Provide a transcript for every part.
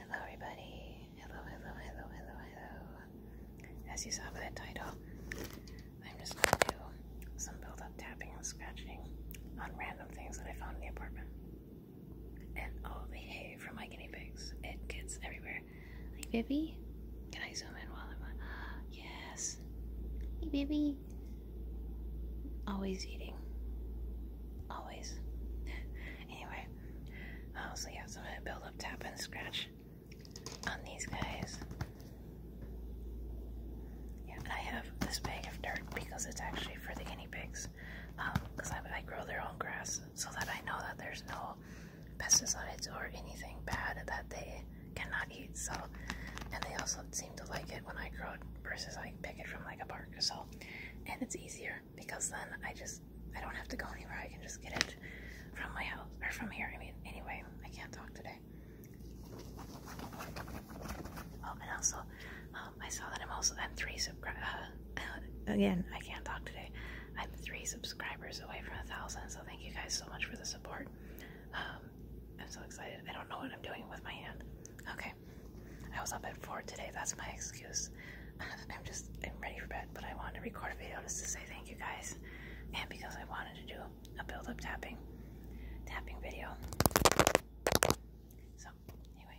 Hello, everybody. Hello, hello, hello, hello, hello. As you saw by the title, I'm just going to do some build up tapping and scratching on random things that I found in the apartment. And all the hay from my guinea pigs. It gets everywhere. Hey, baby, Can I zoom in while I'm on? Yes. Hey, baby. Always eating. Always. Anyway, so yeah, so I'm gonna build up tap and scratch on these guys. Yeah, and I have this bag of dirt because it's actually for the guinea pigs. Because um, I, I grow their own grass so that I know that there's no pesticides or anything bad that they cannot eat. So, and they also seem to like it when I grow it versus I pick it from like a park. So, and it's easier because then I just I don't have to go anywhere. I can just get it from my house or from here. I mean, anyway, I can't talk today. Oh, and also, um, I saw that I'm also I'm three subscribers. Uh, again, I can't talk today. I'm three subscribers away from a thousand. So thank you guys so much for the support. Um, I'm so excited. I don't know what I'm doing with my hand. Okay. I was up at four today. That's my excuse. I'm just I'm ready for bed, but I wanted to record a video just to say thank you guys, and because I wanted to do a build-up tapping, tapping video. So anyway,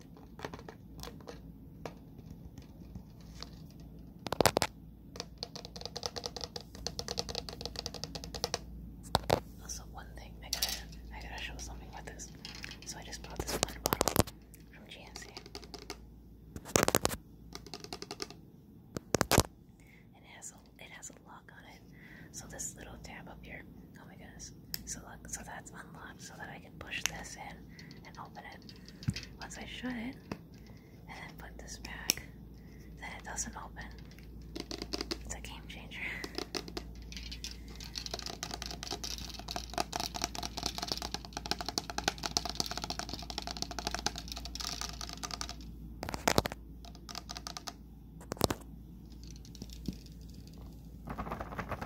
Also, one thing I gotta, I gotta show something with this. So I just bought this one bottle from GNC, it has a, it has a lock on it. So this little tab up here, oh my goodness! So look, so that's unlocked so that I can push this in and open it. Once I shut it and then put this back, then it doesn't open. It's a game changer.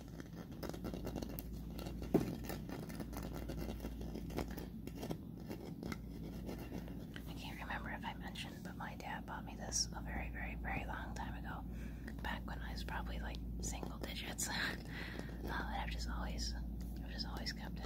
I can't remember if I mentioned, but my dad bought me this a very, very, very long time ago. Back when I was probably like single digits. Uh, and I've just always, I've just always kept it.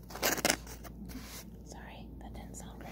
Sorry, that didn't sound great.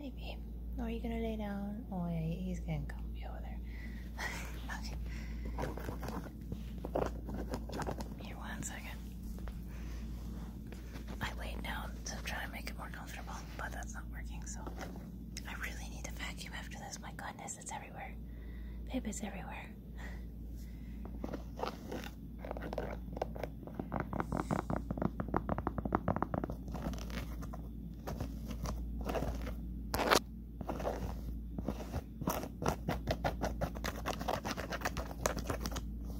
Pip's Are you gonna lay down? Oh, yeah, he's gonna come over there. Here, one second. I laid down to try to make it more comfortable, but that's not working, so I really need to vacuum after this. My goodness, it's everywhere. Paper is everywhere.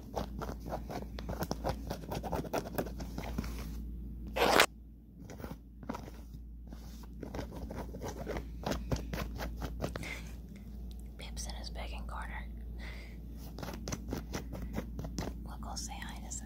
Pips in his begging corner. Look, I'll say hi in a sec.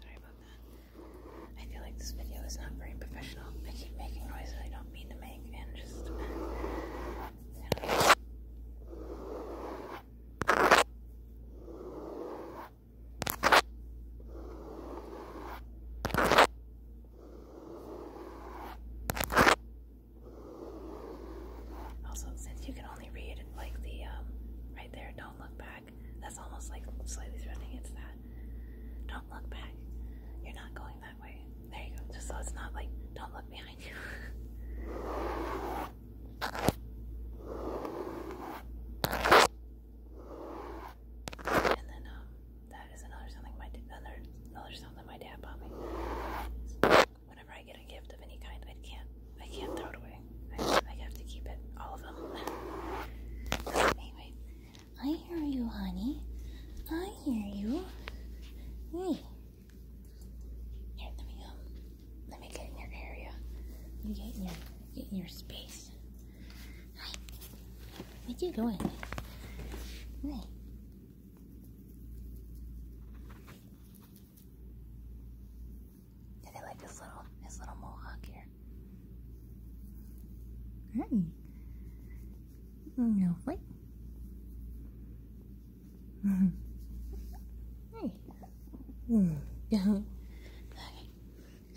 Sorry about that. I feel like this video is not very professional. I keep making noises I don't mean to make and just. Uh, also, since you can only read like the um, right there, don't look back. That's almost like slightly threatening. It's that. Don't look back. You're not going that way. There you go. Just so it's not like, don't look behind you. and then, um, that is another something my another another something my dad bought me. Whenever I get a gift of any kind, I can't I can't throw it away. I, have to keep it, all of them. anyway, I hear you, honey. I hear you. Hey. Here, let me go. Um, let me get in your area. get in your, get in your space. Hi. Where you going? Hey. And I like this little his little mohawk here. Hey. No flick. hey. okay.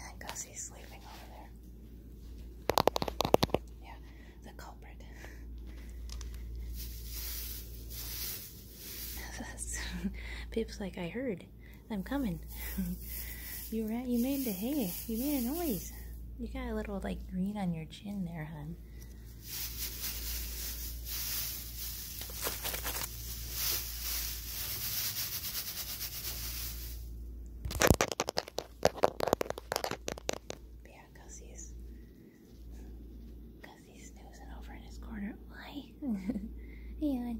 And Gussie's sleeping over there. Yeah, the culprit. People's like, I heard I'm coming. you right. You made a hay. You made a noise. You got a little like green on your chin there, hon. Yeah, Gussie's. Gussie's snoozing over in his corner. Why? Hang on.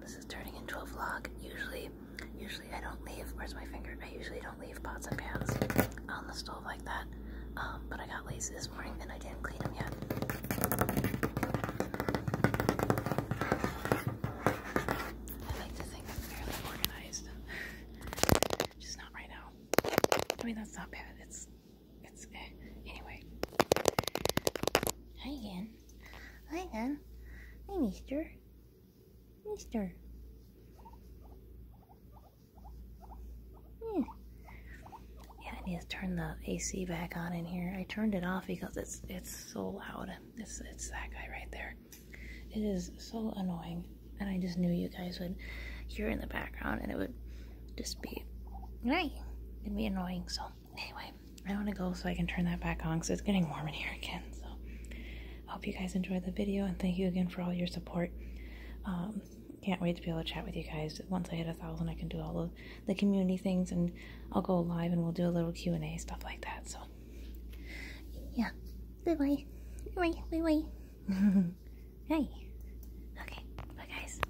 This is turning into a vlog. Usually, usually I don't leave. Where's my finger? I usually don't leave pots and pans on the stove like that. Um, but I got lazy this morning and I didn't clean them yet. I like to think I'm fairly organized. Just not right now. I mean, that's not bad. It's it's eh, Anyway. Hi again. Hi again. Hi, mister. Mister. Hmm. Yeah. I need to turn the AC back on in here. I turned it off because it's it's so loud. It's it's that guy right there. It is so annoying, and I just knew you guys would hear in the background, and it would just be, hey, it'd be annoying. So anyway, I want to go so I can turn that back on because it's getting warm in here again. So I hope you guys enjoyed the video and thank you again for all your support. Um, can't wait to be able to chat with you guys. Once I hit a thousand, I can do all the community things and I'll go live and we'll do a little Q and A stuff like that. So yeah, bye bye, bye bye, bye bye. hey. Okay, bye guys.